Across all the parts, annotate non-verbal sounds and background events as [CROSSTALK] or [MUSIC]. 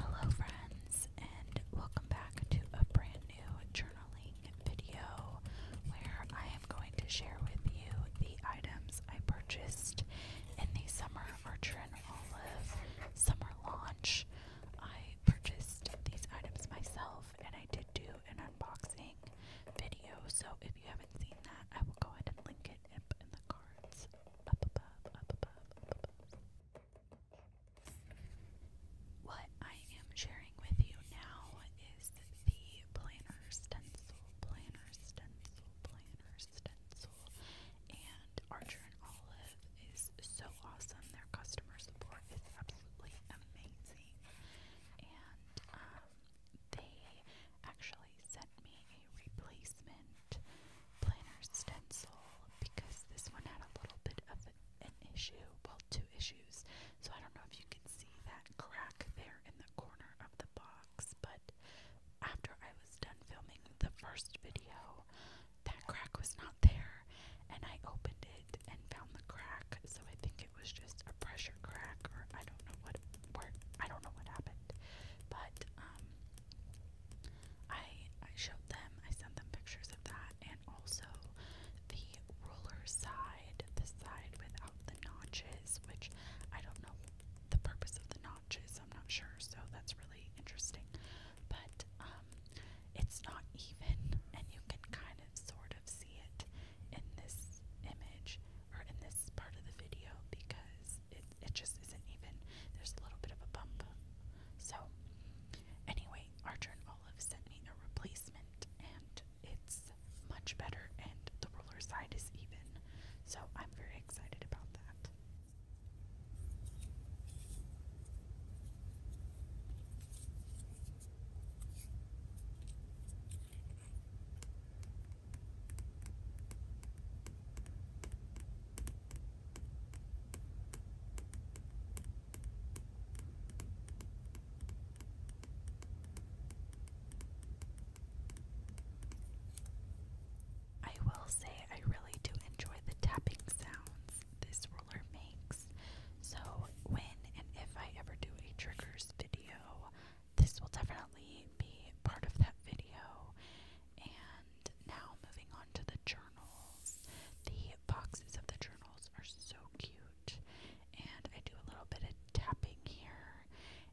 Hello, friends, and welcome back to a brand new journaling video where I am going to share with you the items I purchased in the summer Merchant Olive summer launch. I purchased these items myself and I did do an unboxing video, so if you haven't seen that, I will go ahead and link it up in the cards up above, up above. What I am sharing with you now is the planner stencil, planner stencil, planner stencil. And Archer and Olive is so awesome. Their customer support is absolutely amazing. And um, they actually sent me a replacement planner stencil because this one had a little bit of an issue. Well, two issues. So I don't know if you can see that crack there in the corner of the box, but after I was done filming the first video, that crack was not there, and I opened it and found the crack. So I think it was just a pressure crack, or I don't know what where, I don't know what happened. But um, I I showed them, I sent them pictures of that, and also the ruler side, the side without the notches, which I don't know the purpose of the notches. I'm not sure, so that's really interesting. But um, it's not even, and you can kind of sort of see it in this image or in this part of the video because it it just isn't even. There's a little bit of a bump. So anyway, Archer and Olive sent me a replacement, and it's much better, and the roller side is even. So I'm very excited about that. I will say I really do enjoy the tapping sounds this roller makes. So when and if I ever do a triggers video, this will definitely be part of that video. And now moving on to the journals. The boxes of the journals are so cute. And I do a little bit of tapping here.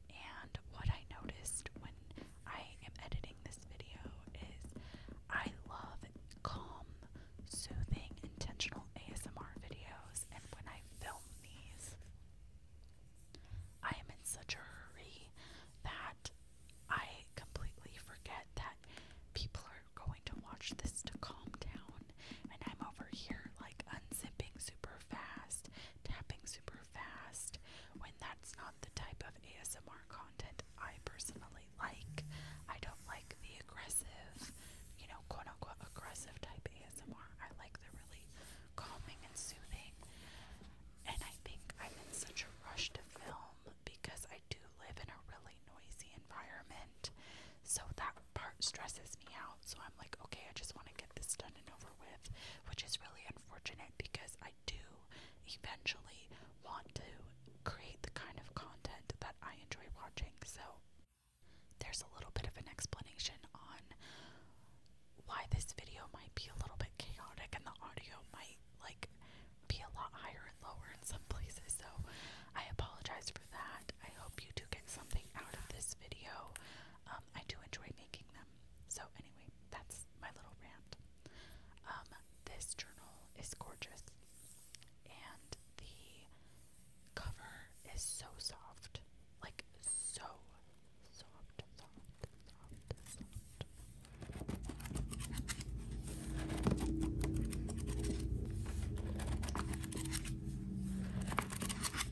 And what I noticed when I am editing this video is I love calm, soothing, intentional ASMR videos, and when I film these, I am in such a hurry that I completely forget that people are going to watch this to calm down, and I'm over here like unzipping super fast tapping super fast, when that's not the type of ASMR content I personally like. I don't like the aggressive, you know, quote unquote aggressive type ASMR. I like the really calming and soothing. And I think I'm in such a rush to film because I do live in a really noisy environment. So that part stresses me out. So I'm like, okay, I just want to get this done and over with, which is really unfortunate because I do eventually want to create the kind of content that I enjoy watching. So there's a little bit of an explanation on why this video might be a little bit chaotic and the audio might like be a lot higher and lower in some places. So I apologize for that. I hope you do get something out of this video. Um, I do enjoy making them. So anyway, that's my little rant. Um, this journal is gorgeous, and the cover is so soft, like so soft, soft, soft, soft.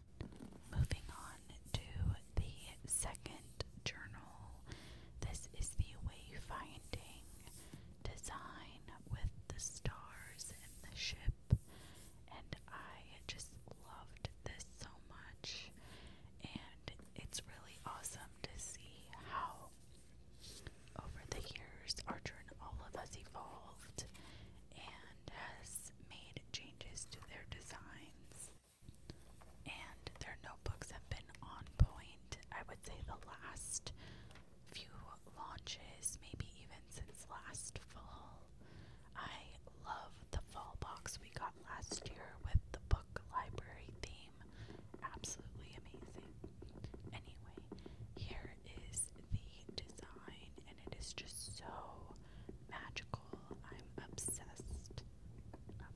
Moving on to the second journal. This is the wayfinding design with the stars and the ship, and I just loved this so much. And it's really awesome to see how, over the years, Archer and all of us evolved and has made changes to their designs and their notebooks have been on point. I would say the last few launches, maybe even since last fall. I love the fall box we got last year with the book library theme. Absolutely amazing. Anyway, here is the design it is just so magical. I'm obsessed.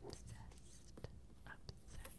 Obsessed. Obsessed.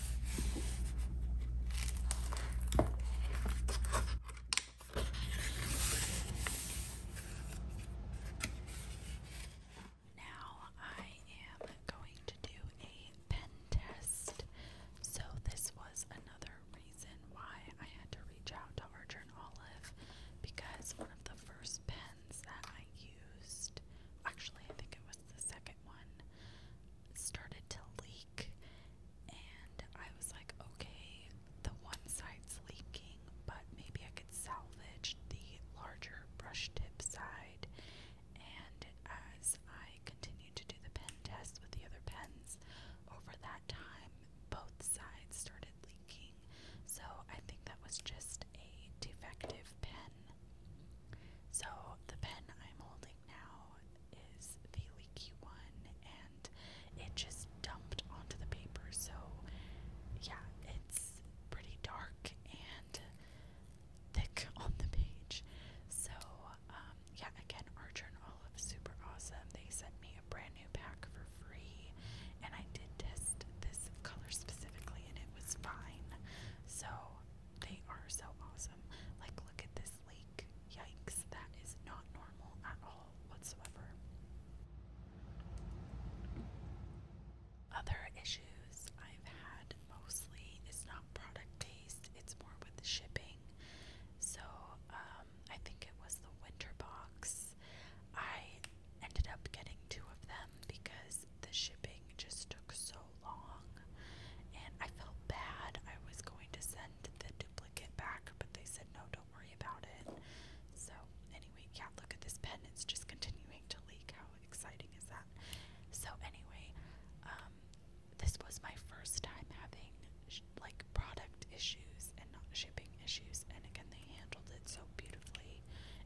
Now I am going to do a pen test. So, this was another reason why I had to reach out to Archer and Olive because one of the first pens that I used, actually, I think it was the second one, started to leak, and I was like, okay, the one side's leaking, but maybe I could salvage the larger brush tip side. And as I continued to do the pen test with the other pens, over that time, both sides started leaking. So I think that was just a defective pen. So the pen I'm holding now is the leaky one, and it just dumped onto the paper. So, yeah, it's pretty dark and thick [LAUGHS] on the page. So, um, yeah, again, Archer and Olive, super awesome. They sent me a brand new pack for free, and I did test this color specifically, and it was fine. So, they are so awesome. Like, look at this lake. Yikes, that is not normal at all whatsoever. Other issues I've had mostly is not product based, it's more with the shipping. So, um, I think it was the winter box. I ended up getting two of them because the shipping just took so long and I felt bad. I was going to send the duplicate back, but they said no, don't worry about it. So, anyway, yeah, look at this pen. It's just continuing to leak. How exciting is that? So, anyway, um, this was my first time having like product issues and not shipping issues, and again, they handled it so beautifully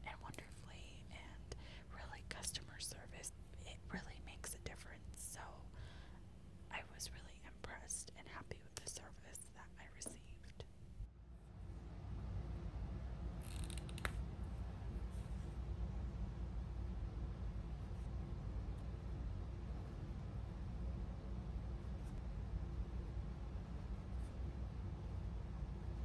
and wonderfully. And really customer service. It really makes a difference. So I was really impressed and happy with the service that I received.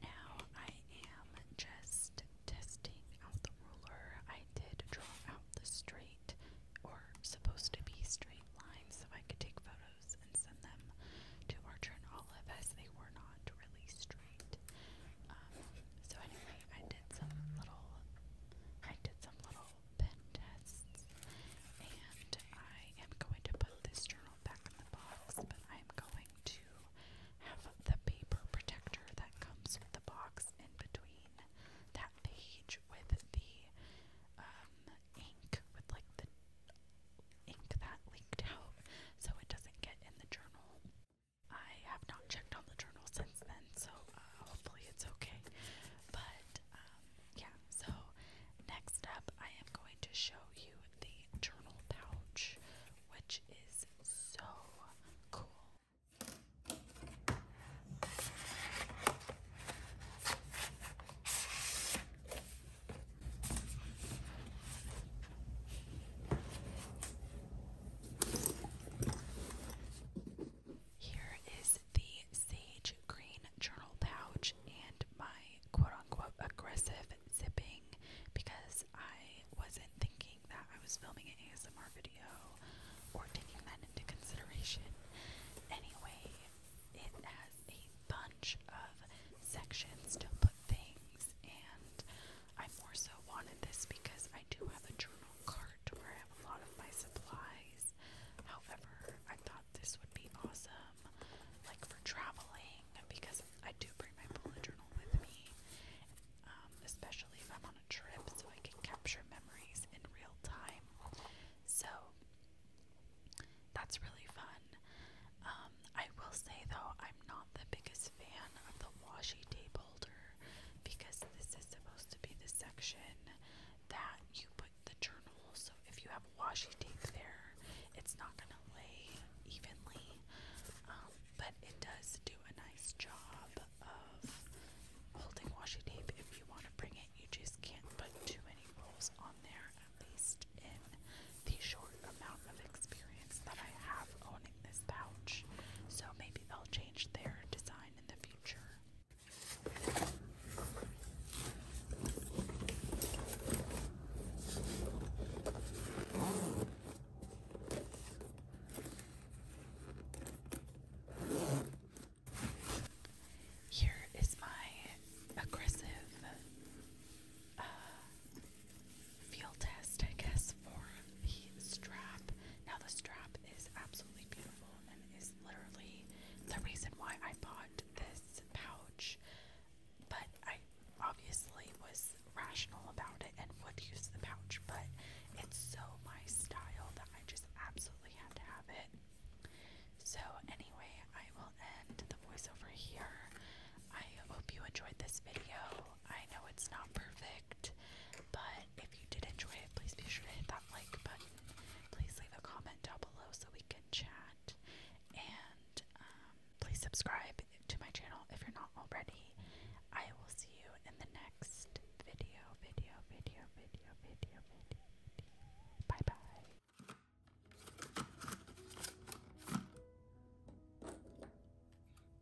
Now I am just testing out the ruler. I did draw out the straight or supposed to be straight lines so I could take photos and send them to Archer and Olive as they were not really straight. Um, so anyway, I did some little I did some little pen tests, and I am going to put this journal back in the box, but I'm going to have the paper protector that comes with the box in between that page with the um, ink, with like the ink that leaked out, so it doesn't get in the journal. I have not checked on the journal since then, so uh, hopefully it's okay. But um, yeah, so next up, I am going to show you the journal pouch, which is so cool. Here is the sage green journal pouch and my quote unquote aggressive zipping because I wasn't thinking that I was filming an ASMR video or taking that into consideration. Anyway, it has a bunch of sections to put things, and I more so wanted this because I do have a journal card where I have a lot of my supplies. However, I thought this would be awesome, like for traveling, because I do bring my bullet journal with me, um, especially if I'm on a trip, so I can capture memories in real time. So that's really fun. Um, I will say though, I'm not the biggest fan of the washi table because this is supposed to be the section that you put the journal. So if you have washi tape there, it's not going to lay evenly. Um, but it does do a nice job of holding washi tape. If you want to bring it, you just can't put too many rolls on there, at least in the short amount of experience that I have owning this pouch. So maybe they'll change their design in the Here is my aggressive uh, test, I guess, for the strap. Now, the strap is absolutely beautiful and is literally the reason why I bought this pouch. But I obviously was rational about it and would use the pouch, but it's so my style that I just absolutely had to have it. So, anyway, I will end the voiceover here. I hope you enjoyed this video. I know it's not perfect. But if you did enjoy it, please be sure to hit that like button. Please leave a comment down below so we can chat. And um, please subscribe to my channel if you're not already. I will see you in the next video, video, video, video, video, video. Bye bye.